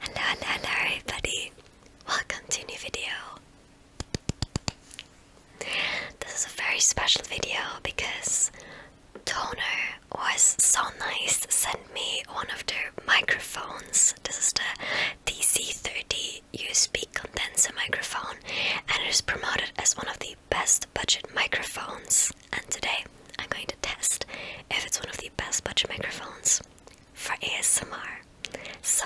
Hello, hello, hello everybody! Welcome to new video! This is a very special video because Tono was so nice to send me one of their microphones. This is the DC30 USB condenser microphone and it is promoted as one of the best budget microphones. And today I'm going to test if it's one of the best budget microphones for ASMR. So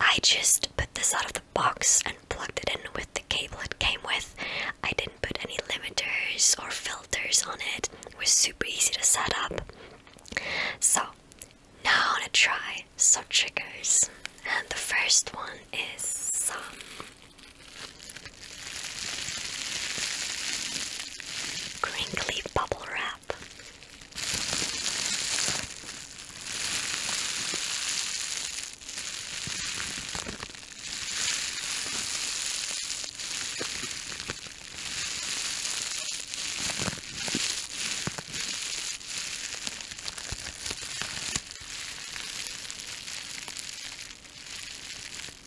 I just put this out of the box and plugged it in with the cable it came with. I didn't put any limiters or filters on it. It was super easy to set up. So now I am going to try some triggers. And the first one is some crinkly bubble wrap.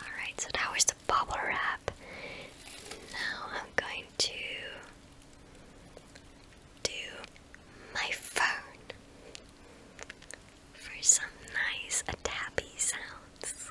Alright, so now is the bubble wrap. Now I'm going to do my phone for some nice uh, tappy sounds.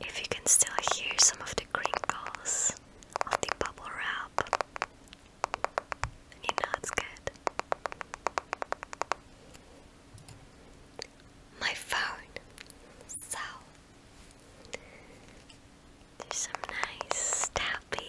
If you can still hear some of the crinkles of the bubble wrap, you know it's good. My phone. So there's some nice tappies.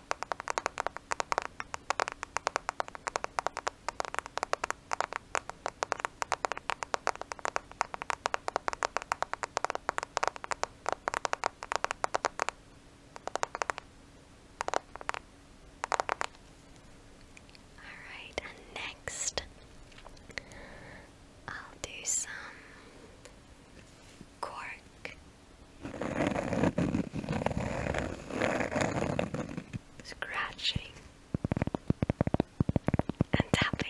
Alright, and next I'll do some cork Scratching and tapping.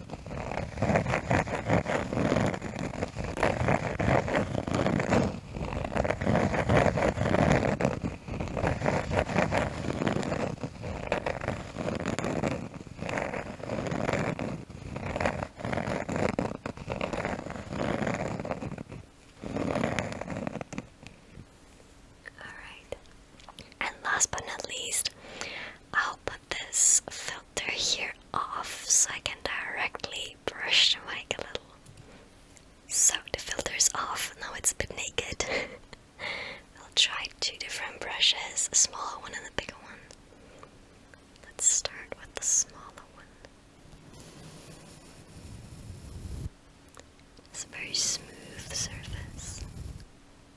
All right. And last but not least, I hope this filter here off so I can directly brush the mic a little. So the filter is off, now it's a bit naked. I'll try two different brushes, a smaller one and a bigger one. Let's start with the smaller one. It's a very smooth surface.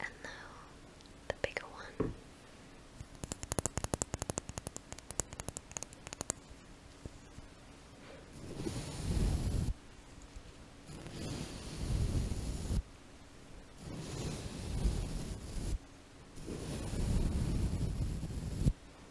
And now the bigger one.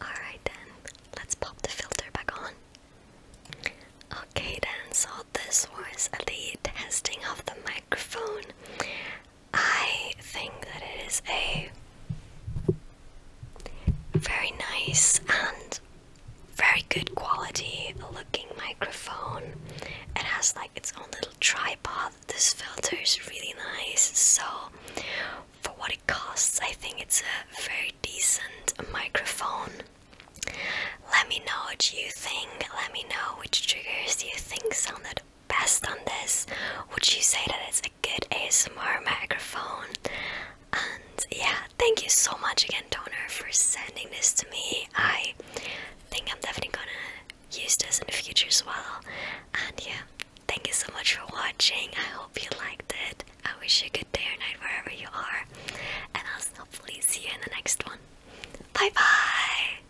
Alright then, let's pop the filter back on. Okay then, so this was the testing of the microphone. I think that it is a very nice and very good quality looking microphone. It has like its own little tripod. This filter is really nice. So, for what it costs, I think it's a very decent microphone. Let me know what you think. Let me know which triggers you think sounded best on this? Would you say that it's a good ASMR microphone? And yeah, thank you so much again, Toner, for sending this to me. I think I'm definitely gonna use this in the future as well. And yeah, thank you so much for watching. I hope you liked it. I wish you a good day or night wherever you are. And I'll hopefully see you in the next one. Bye bye!